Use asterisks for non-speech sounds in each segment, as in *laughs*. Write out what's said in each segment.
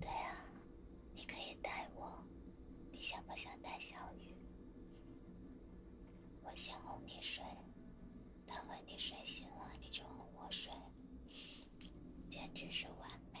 对啊，你可以带我，你想不想带小雨？我先哄你睡，等和你睡醒了，你就哄我睡，简直是完美。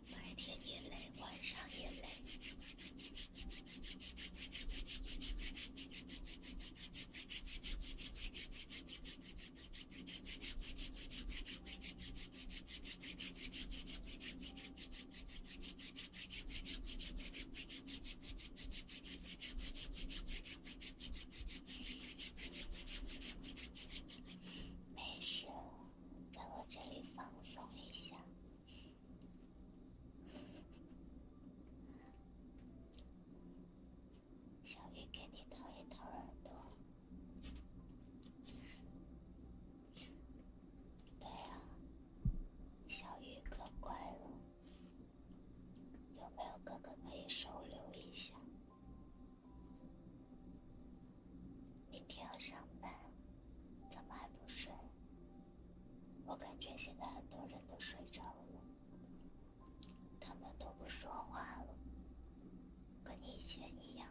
白天也累，晚上也累。没事，在我这里放松一下。小鱼给你掏一掏耳朵，对呀，小鱼可乖了，有没有哥哥可以收留一下？明天要上班，怎么还不睡？我感觉现在很多人都睡着了，他们都不说话了，跟你以前一样。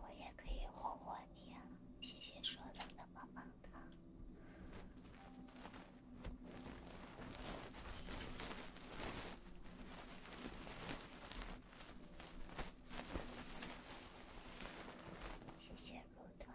我也可以哄哄你啊！谢谢说糖的棒棒糖，谢谢鹿团。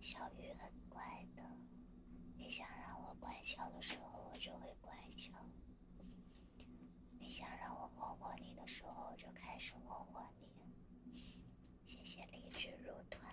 小鱼很乖的，你想让我乖巧的时候，我就会乖巧；你想让我摸摸你的时候，我就开始摸摸你。谢谢励志入团。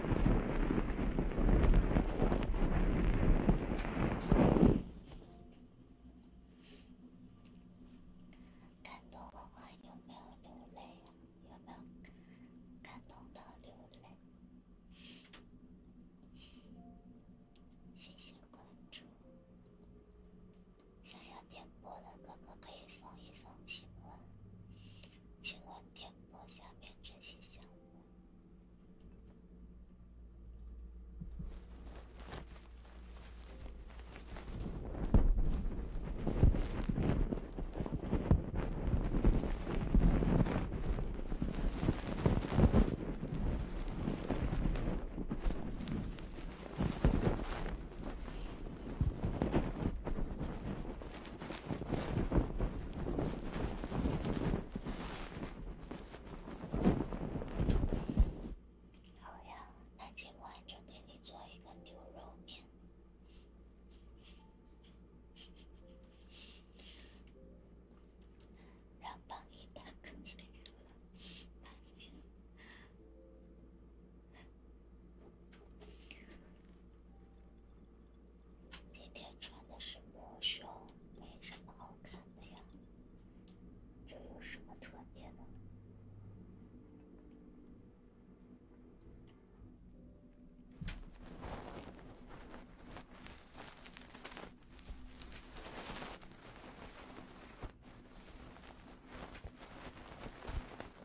感动的话有没有流泪啊？有没有感动到流泪？谢谢关注。想要点播的哥哥可以送一送礼物。请问，点播下面这些项目？好呀，那今晚就给你做一个牛肉面，让帮你打个牛肉面。今天穿的是抹胸，没什么好看的呀，这有什么特别的？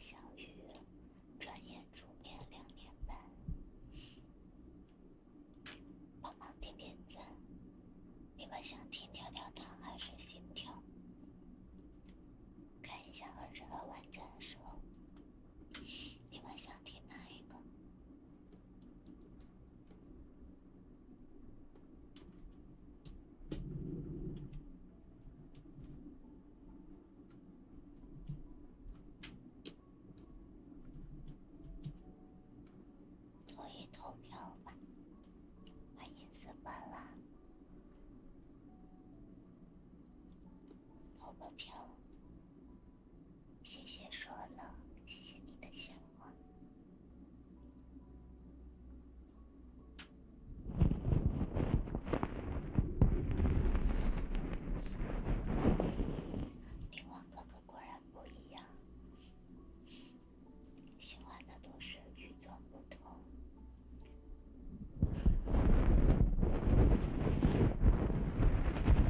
小雨，转眼煮面两年半，帮忙点点赞。你们想听跳跳糖还是心跳？看一下二十万赞的时候。你们想听哪一个？可以投票吧，把音色关了，投个票。谢谢说了，谢谢你的鲜花。凌王哥哥果然不一样，喜欢的都是与众不同。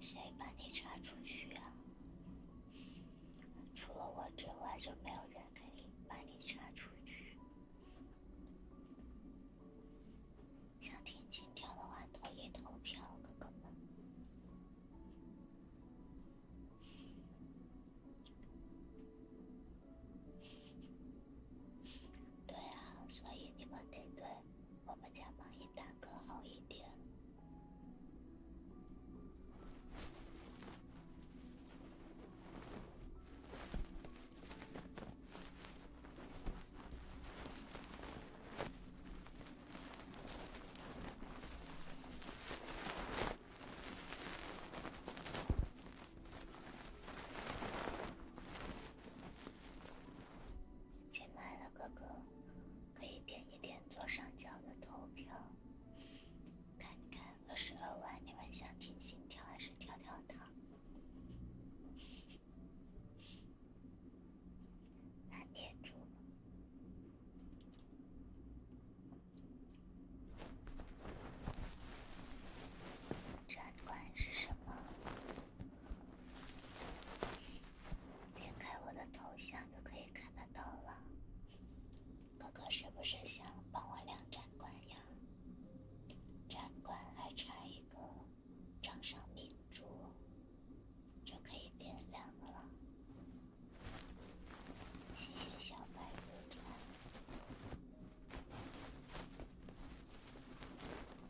谁把你插出去啊？除了我之外，就没有人可以把你插出去。想听心跳的话，投一投票，哥哥们。对啊，所以你们得对。我们家蚂蚁大哥好一点。亲爱的哥哥，可以点一点左上角的投票，看看二十二万，你们想听心跳还是跳跳糖？蓝天猪，展馆是什么？点开我的头像就可以看得到了。哥哥是不是想帮我亮展馆呀？展馆还差一个掌上明珠，就可以点亮了。谢谢小白兔。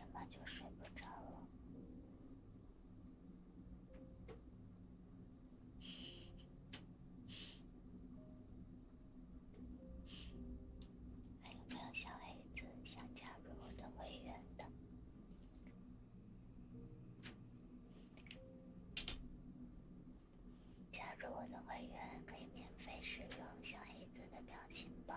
怎么就睡不着了？还有没有小黑子想加入我的会员的？加入我的会员可以免费使用小黑子的表情包。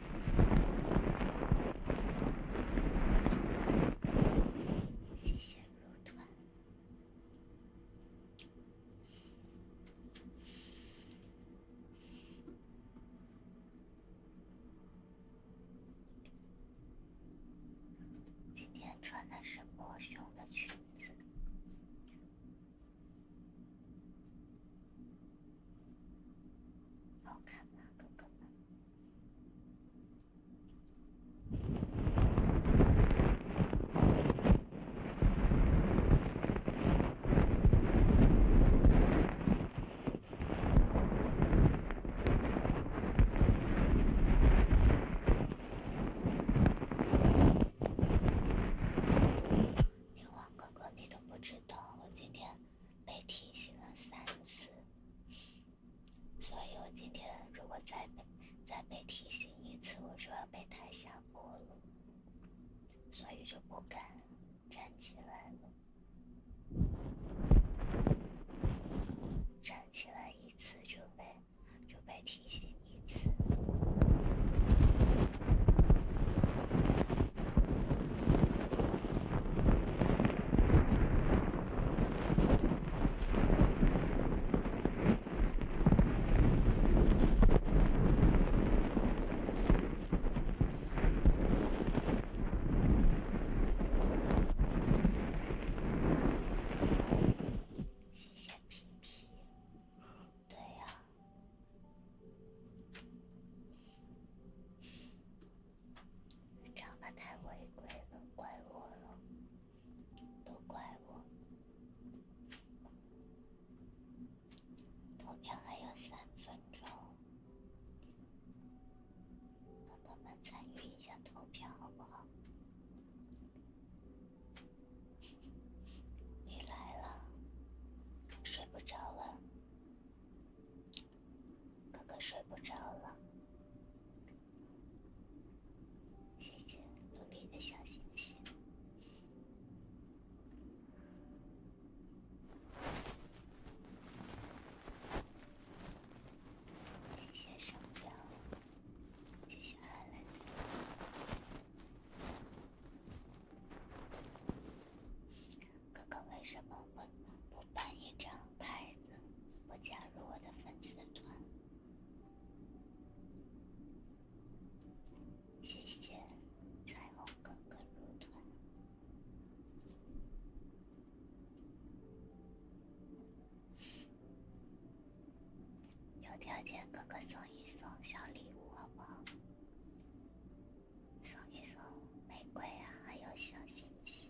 谢谢入团。今天穿的是抹胸的裙子。好看，哥哥。牛王哥哥，你都不知道，我今天。被提醒了三次，所以我今天如果再被再被提醒一次，我就要被台下播了，所以就不敢站起来了。站起来一次就被就被提醒一次。谢谢皮皮。对呀。长得太违规了，怪我了，都怪我。投票还有三分钟，帮他们参与一下投票好不好？你来了，睡不着了。哥哥睡不着了，谢谢努力的小星星，谢谢手表，谢谢阿兰哥哥，为什么不不办一张牌子，不加入我的粉丝团？谢谢彩虹哥哥入团，有条件哥哥送一送小礼物好不好？送一送玫瑰啊，还有小心心。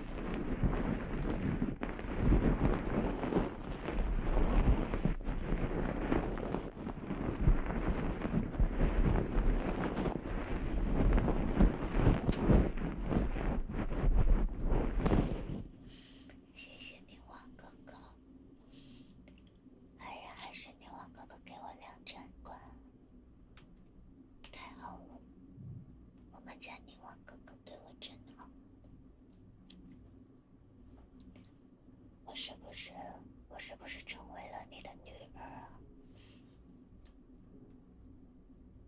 谢谢你，王哥哥。哎呀，还是你王哥哥给我两真光。太好了，我们家宁王哥哥对我真好。我是不是，我是不是成为了你的女儿啊？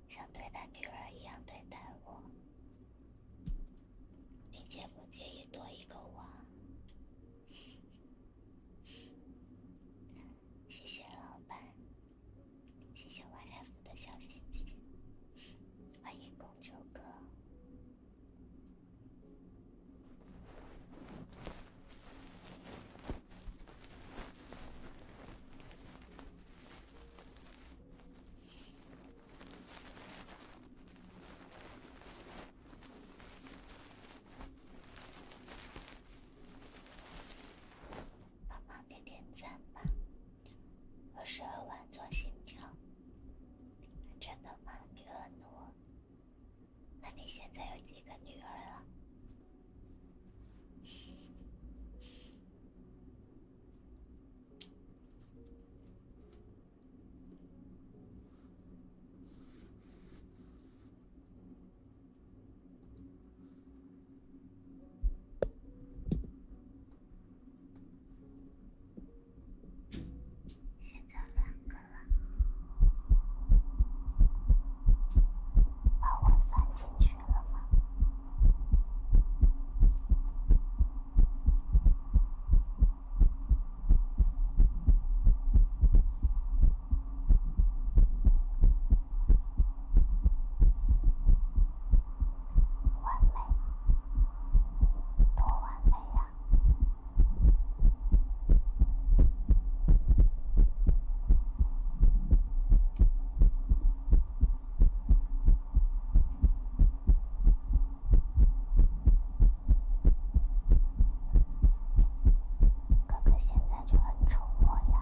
像对待女儿一样对待我，你介不介意多一个我？谢谢老板。谢谢 Y F 的小心心，欢迎公主哥。帮忙点点赞吧，我十二万做心跳，真的吗？女儿多，那你现在有几个女儿了？现在两个了，把我算进去了吗？完美，多完美呀！哥哥现在就很宠我呀。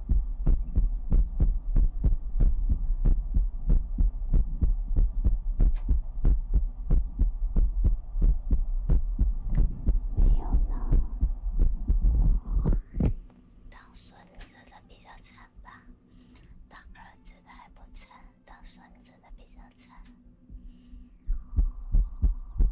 没有了。当孙子的比较惨吧，当儿子的还不惨，当孙子的比较惨。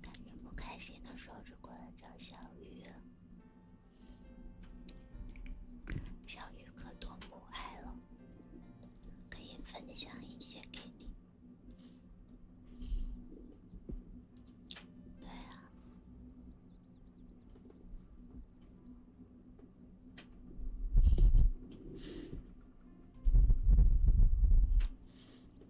感觉不开心的时候就过来找小鱼，小鱼可多母爱了，可以分享一些给你。对啊。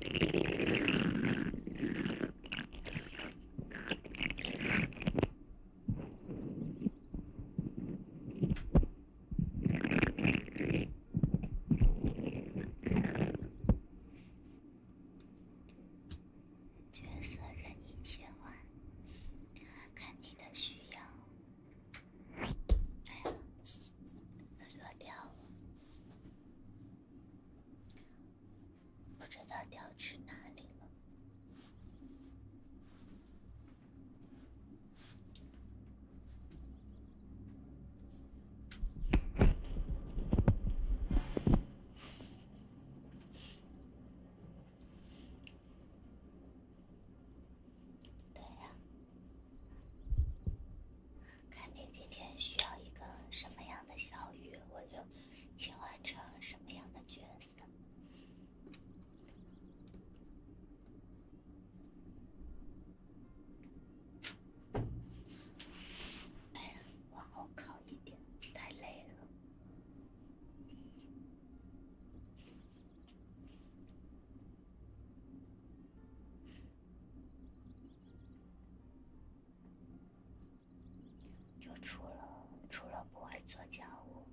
角色任意切换，看你的需要。哎呀，耳朵掉了。不知道掉去哪里了。对呀。看你今天需要一个什么样的小雨，我就切换成什么样的角色。哎呀，我一点，太累了。就除了除了不会做家务，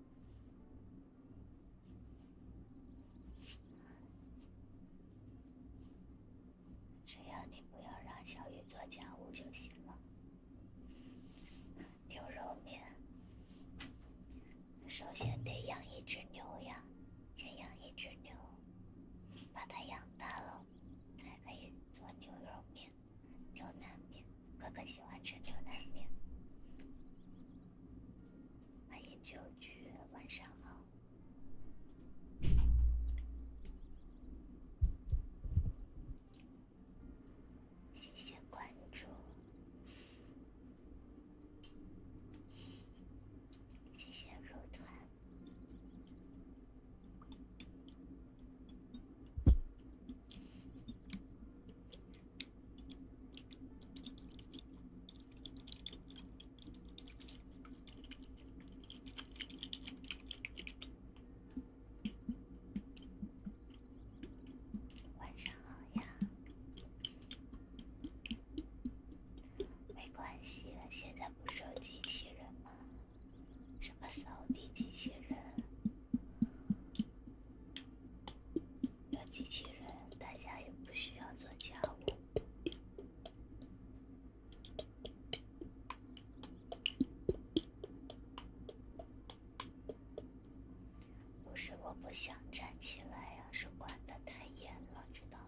只要你不要让小雨做家务就行了。牛肉面，首先得养一只牛呀，先养一只牛，把它养大了。才可以做牛肉面、牛腩面。哥哥喜欢吃牛腩面。欢迎九局，晚上好。谢谢关注，谢谢入团。晚上好呀，没关系，现在。不是有机器人吗？什么扫地机器人？有机器人，大家也不需要做家务。不是我不想站起来呀，是管的太严了，知道吗？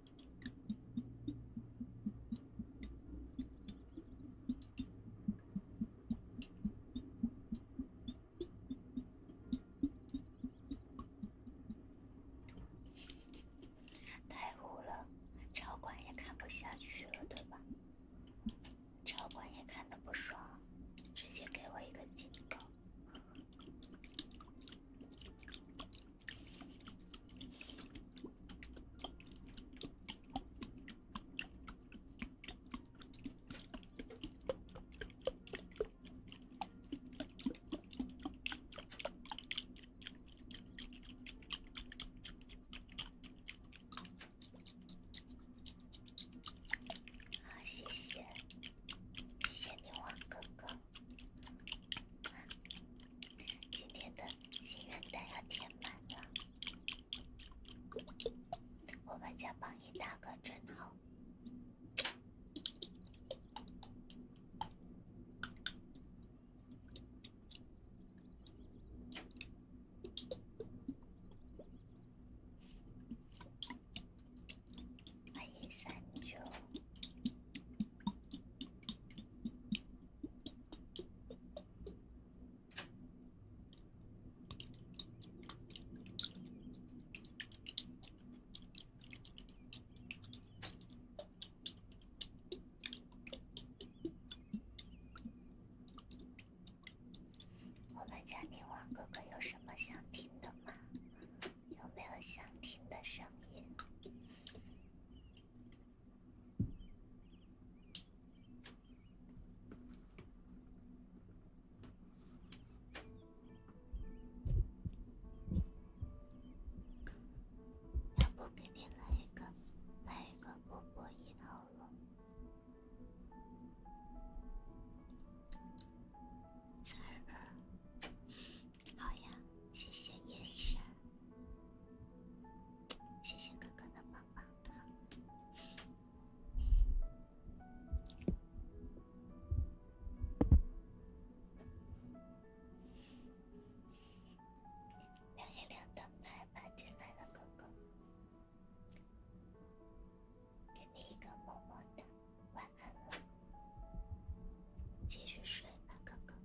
太污了，超管也看不下去了，对吧？超管也看的不爽，直接给我一个警告。好，谢谢，谢谢你，王哥哥。今天的心愿单要填满了，我们家榜一大哥真好。我们家宁王哥哥有什么想听的吗？有没有想听的声音？要不给你来一个，来一个波波音好了，好呀，谢谢夜神，谢谢哥哥的棒棒糖，亮一亮灯牌吧，进来的哥哥，给你一个么么哒，晚安，继续睡吧，哥哥。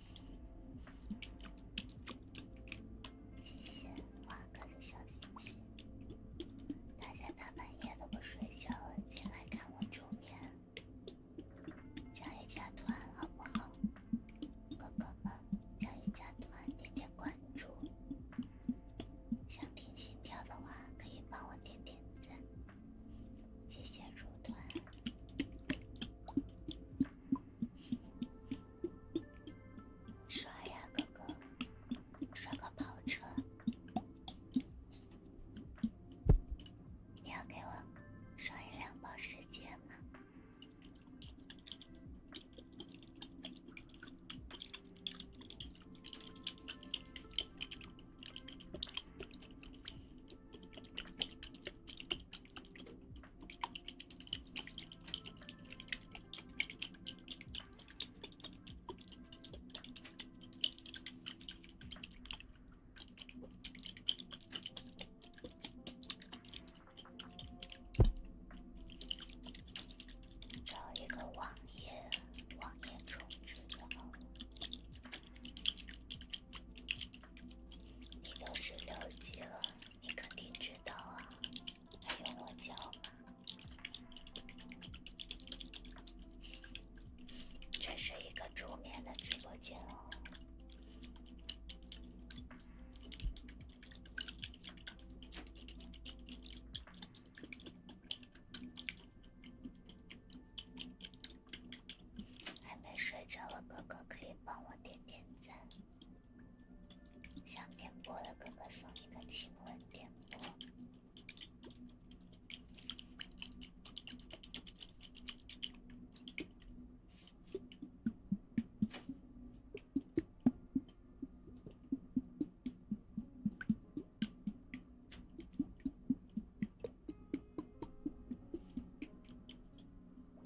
谢谢花哥的小心心，大家大半夜都不睡觉进来看我煮面，加一加团好不好？哥哥们，加一加团，点点关注，想点心跳的话可以帮我点点赞，谢谢入团。刷呀，哥哥，刷个跑车，你要给我刷一辆保时捷吗？找一个网页，网页充值就好了。你都是六级了。你肯定知道啊，还用我教吗？这是一个助眠的直播间哦，还没睡着的哥哥可以帮我点点赞。想点播的哥哥送你个亲吻，点播。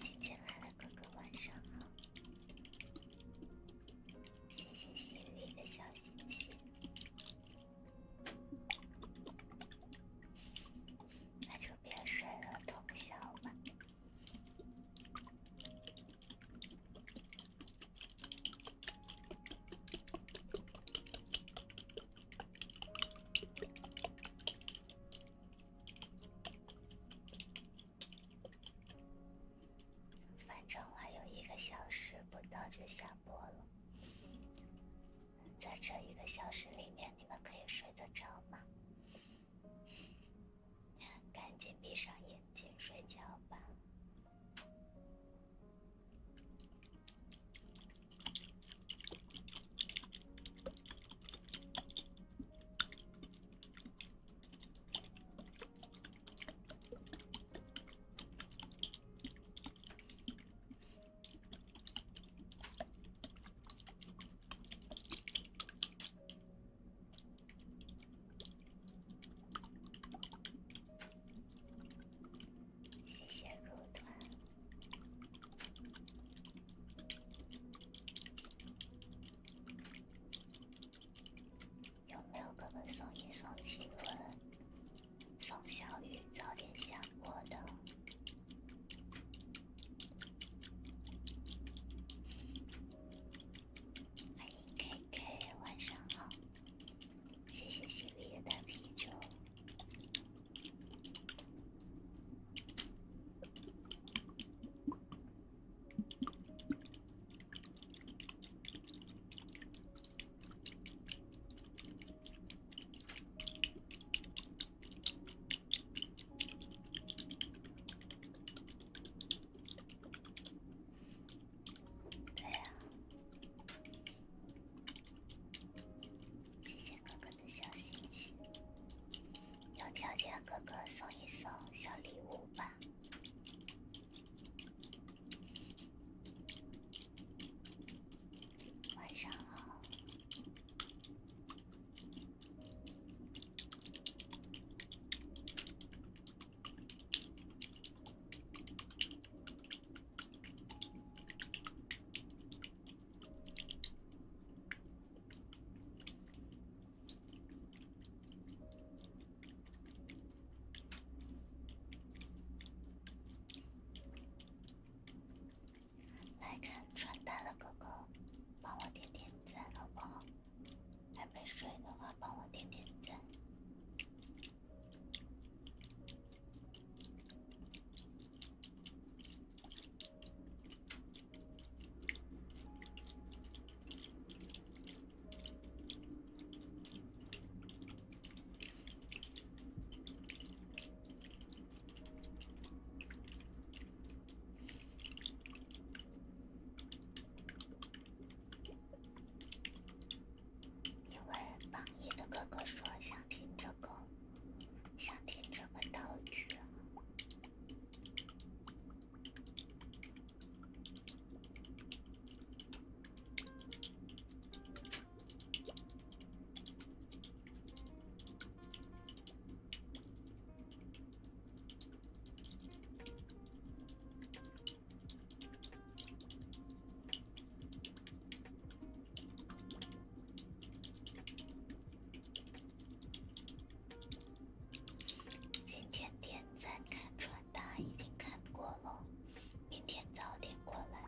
新进来的哥哥晚上好，谢谢心语的小星星，那就别睡了，通宵吧。反正还有一个小时不到就下播了，在这一个小时里面，你们可以睡得着吗？*laughs* 赶紧闭上眼睛睡觉吧。谢谢入团。有没有可以送一送晴雯、送小雨早点下过的？欢迎 KK，晚上好。谢谢小李的啤酒。谢谢哥哥的小心心，有条件哥哥送一送小礼物吧。晚上好。来看穿搭的哥哥，帮我点点赞，好不好？还没睡的话，帮我点点赞。因为榜一的哥哥说想听这个，想听这个道具。今天点赞看传达已经看过了，明天早点过来。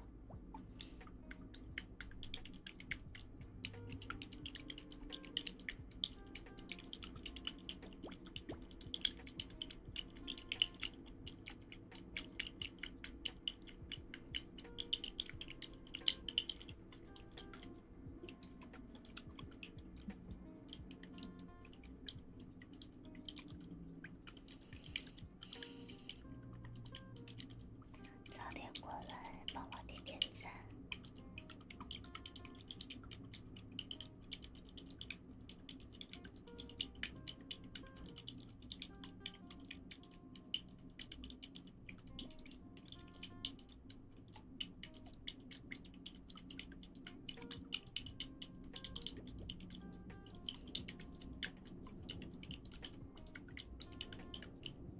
早点过来帮我点点赞。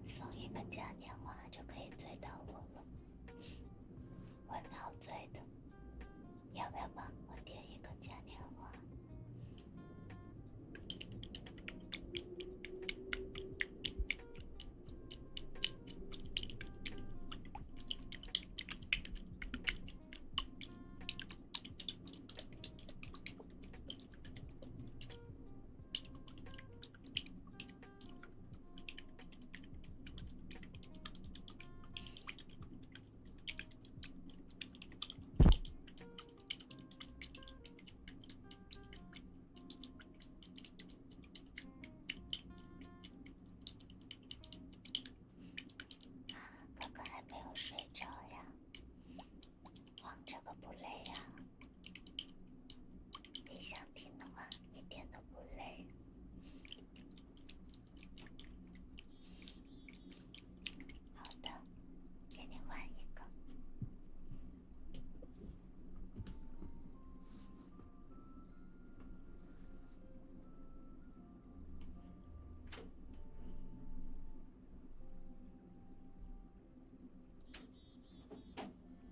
送一个加年华就可以追到我了。我陶醉的，要不要帮我点一个嘉年华？啊，哥哥还没有睡着呀？玩这个不累呀？你想听的话，一点都不累。好的，给你换一个。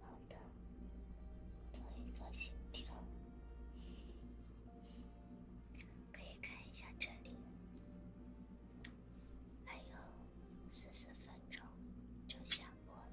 好的，做一个心跳，可以看一下这里，还有十四分钟就下播了。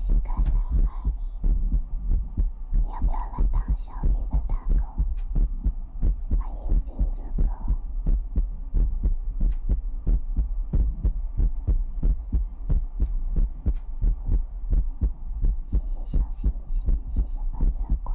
新开南海，你要不要来当小鱼的大哥？欢迎金子哥，谢谢小星星，谢谢半月光。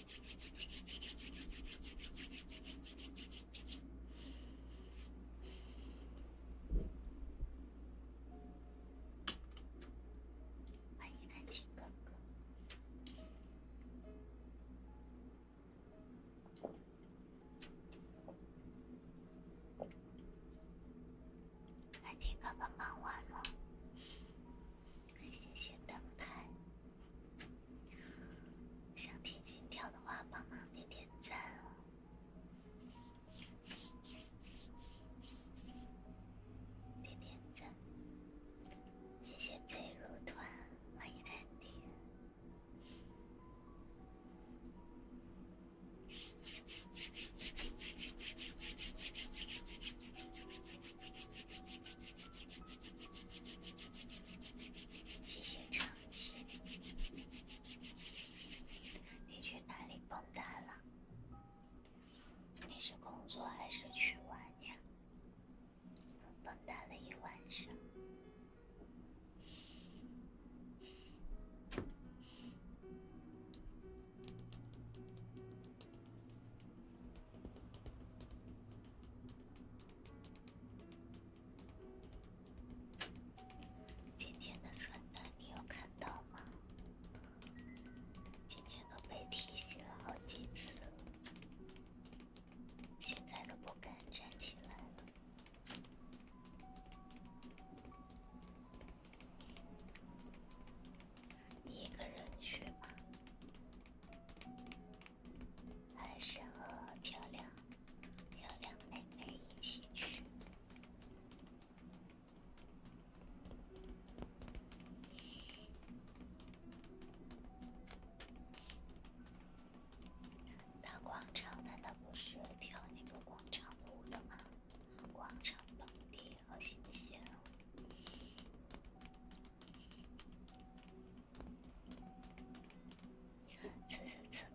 欢迎安静哥哥，安静哥哥忙完了，谢谢灯牌。想听心跳的话，帮忙点点赞哦，点点赞，谢谢进入团，欢迎安迪。谢谢长青，你去哪里蹦跶了？你是工作还是去玩呀？蹦跶了一晚上。今天的传单你有看到吗？今天都被提醒了好几次，现在都不敢站起来了。一个人去吧。还是和漂亮漂亮妹妹一起去。广场难道不是跳那个广场舞的吗？广场蹦迪好新鲜哦！此时此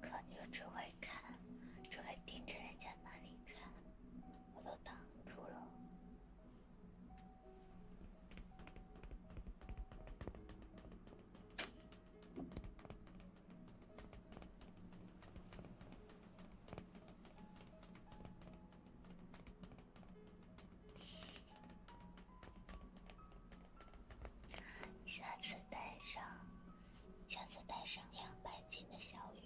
刻，你就只会看，只会盯着人家那里看，我都挡住了。下次带上，下次带上两百斤的小鱼。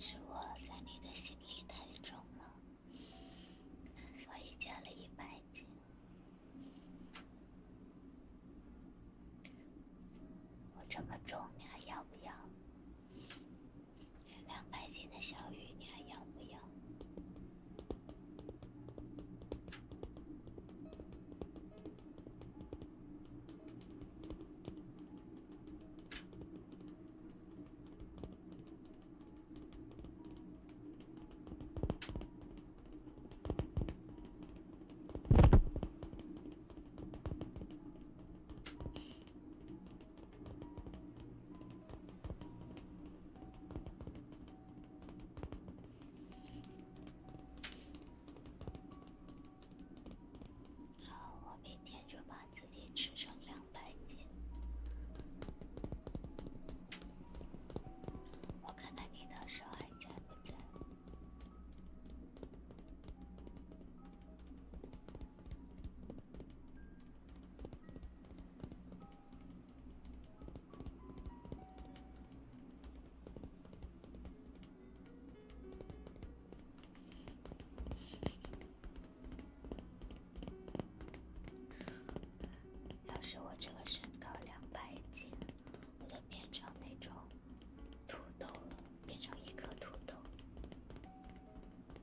是我在你的心里太重了，所以减了一百斤。我这么重，你还要不要？这两百斤的小鱼，你还要不要？好，我明天就把自己吃成两百斤。我看看你的手还在不在。要是我这个身高两百斤，我都变成那种土豆了，变成一颗土豆。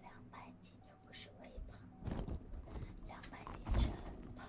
两百斤又不是微胖，两百斤是很胖。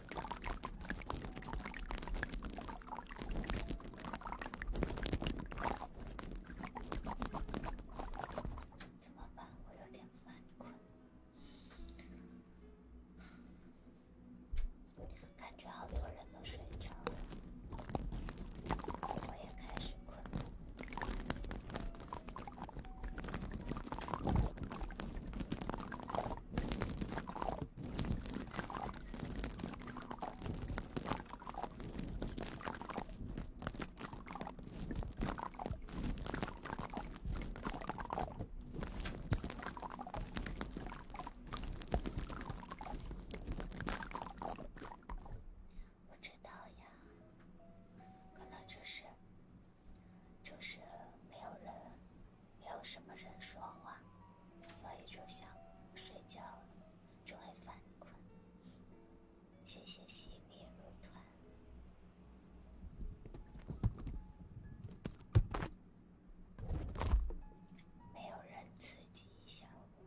怎么办？我有点犯困，感觉好多人都睡着了，我也开始困。不知道呀，可能就是，就是没有人。没有什么人说话，所以就想睡觉了，就会犯困。谢谢西边乐团，没有人刺激一下，我，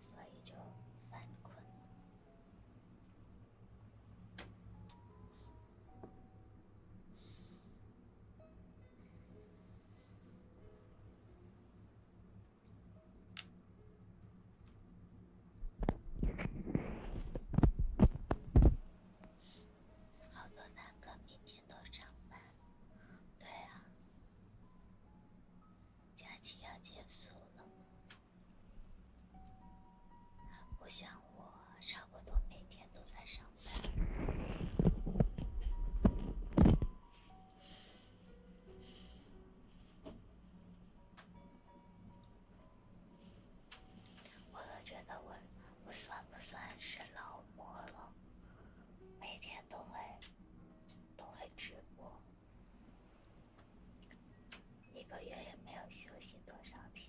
所以就犯困。好多男哥明天都上班，对啊，假期要结束了。我想，我差不多每天都在上班。我都觉得，我我算不算是劳模了？每天都会都会直播，一个月也没有休息多少天。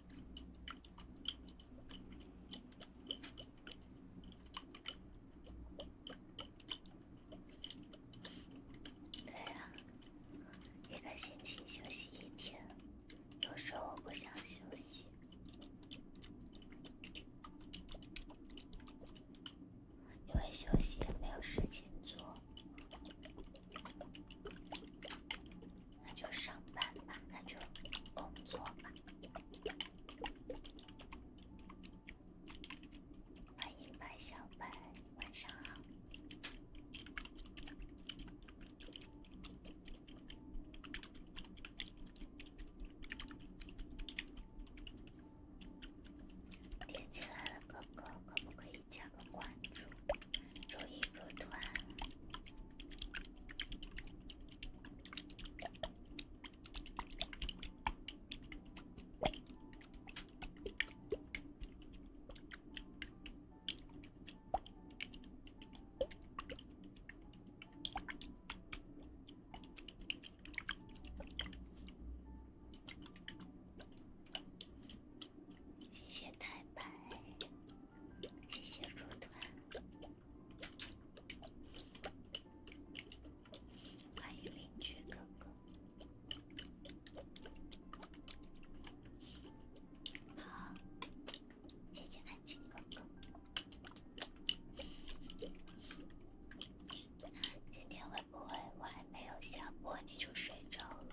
对啊，一个星期休息一天，有时候我不想休息，因为休息也没有事情做。那就上班吧，那就工作吧。欢迎白小白，晚上好。点进来了，哥哥，可不可以加个关注？注意入团。谢谢太白，谢谢入团。欢迎邻居哥哥，好，谢谢安静哥哥。今天会不会我还没有下播你就睡着了？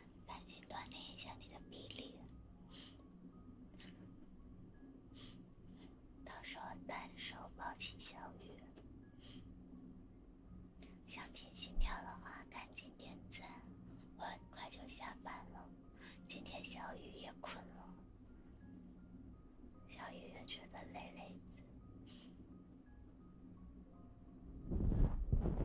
赶紧锻炼一下你的臂力，到时候单手抱起小雨。想听心跳的话，赶紧点赞，我很快就下班了。今天小雨也困了，小雨也觉得累累的。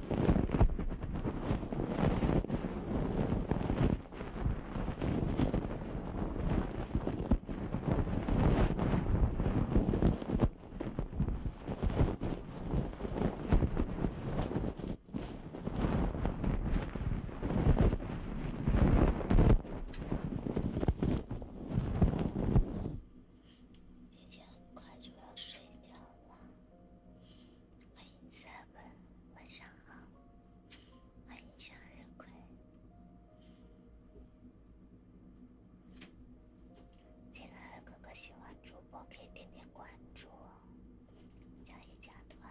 姐姐很快就要睡觉了。欢迎 seven，晚上好。欢迎向日葵。进来的哥哥喜欢主播可以点点关注，加一加团。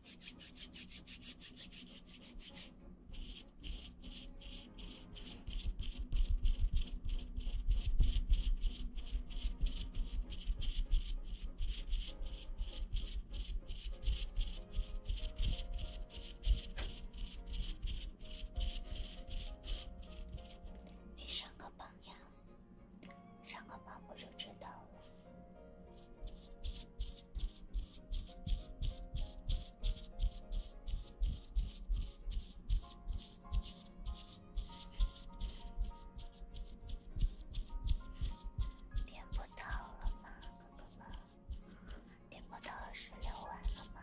你上个榜呀，上个榜我就知道了。点不到了吗，点不到二十六万了吗？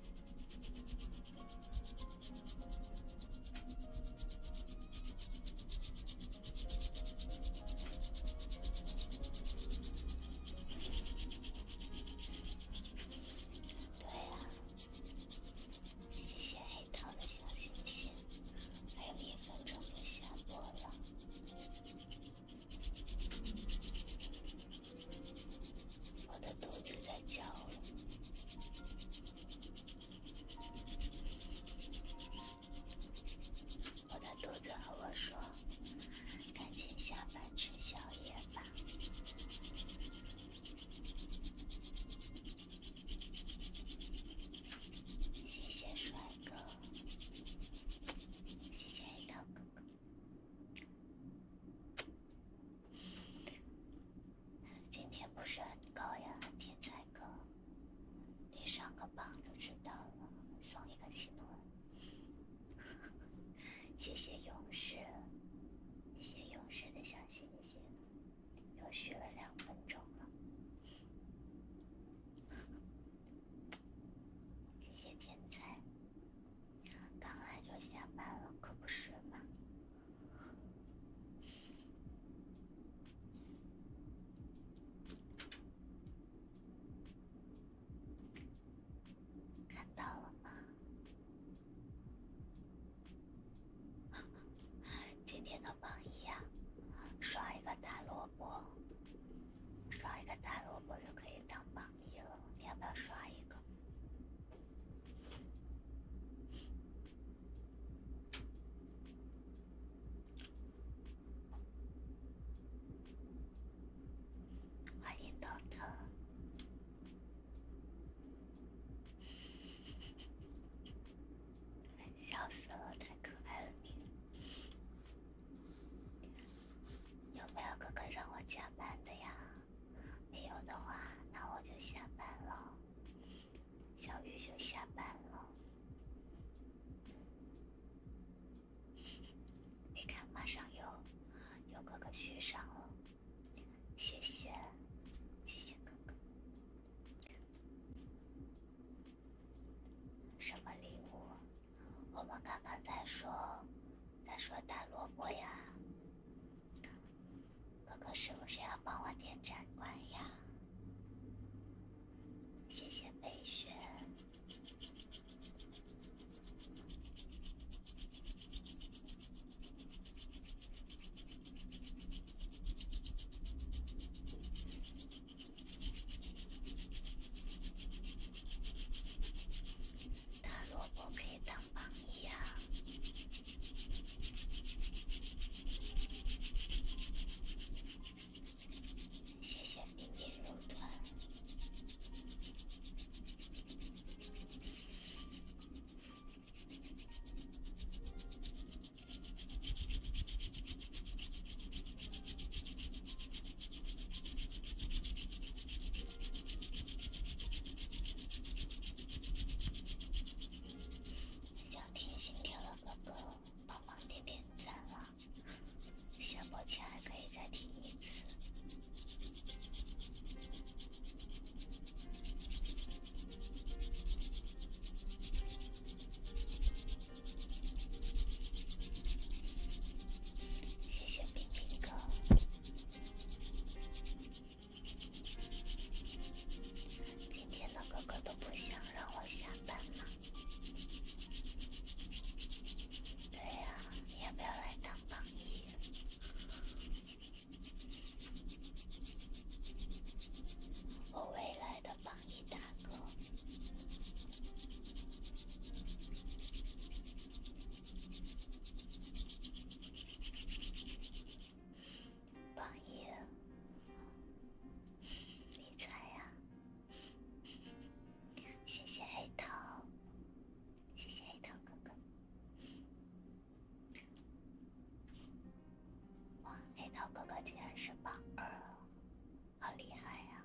对了，谢谢黑桃的小星星，还有一分钟就下播了。我的肚子在叫了，我的肚子和我说：“赶紧下班吃宵夜吧。”谢谢帅哥，谢谢一刀哥哥。今天不是很高呀，天才哥，你上个榜就知道了。送一个气论，*laughs* 谢谢勇士，谢谢勇士的小星星，又续了两分钟了。谢 *laughs* 谢天才。刚来就下班了，可不是吗？看到了吗？*laughs* 今天的榜一呀，刷一个大萝卜，刷一个大萝卜就可以当榜。一了，你要不要刷一个？欢迎豆豆，*laughs* 笑死了，太可爱了你！有没有哥哥让我加班的呀？没有的话，那我就下班了，小鱼就下班了。你看，马上有，有哥哥续上了，谢谢，谢谢哥哥。什么礼物？我们刚刚在说。他说：“大萝卜呀，哥哥是不是要帮我点赞关呀？谢谢飞雪，大萝卜给。”太棒了！谢谢冰冰肉团。想听《心跳的哥哥帮忙点点赞了，下播前还可以再听一次。谢谢冰冰哥。今天的哥哥都不想让我下班吗？对呀，你要不要来当榜一？我未来的榜一大哥。榜一，你猜呀？谢谢黑桃，谢谢黑桃哥哥。哇，黑桃哥哥竟然是榜二，好厉害呀！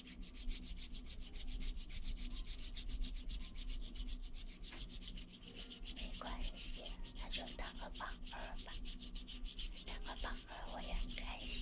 没关系，那就当个榜二吧，当个榜二我也很开心。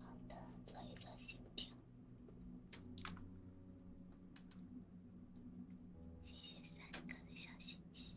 好的，做一做心跳。谢谢三哥的小心心。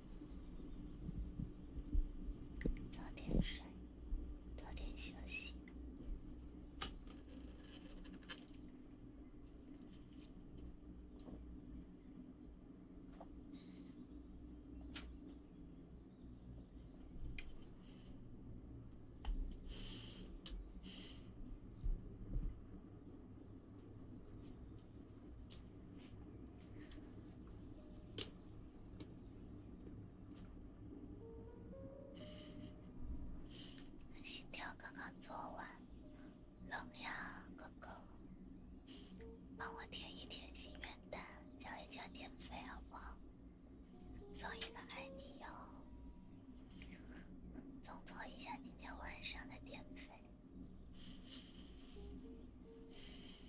早点睡，早点休息。心跳刚刚做完，冷呀，哥哥，帮我填一填心愿单，交一交电费好不好？送一个爱你哦，重做一下今天晚上的电费。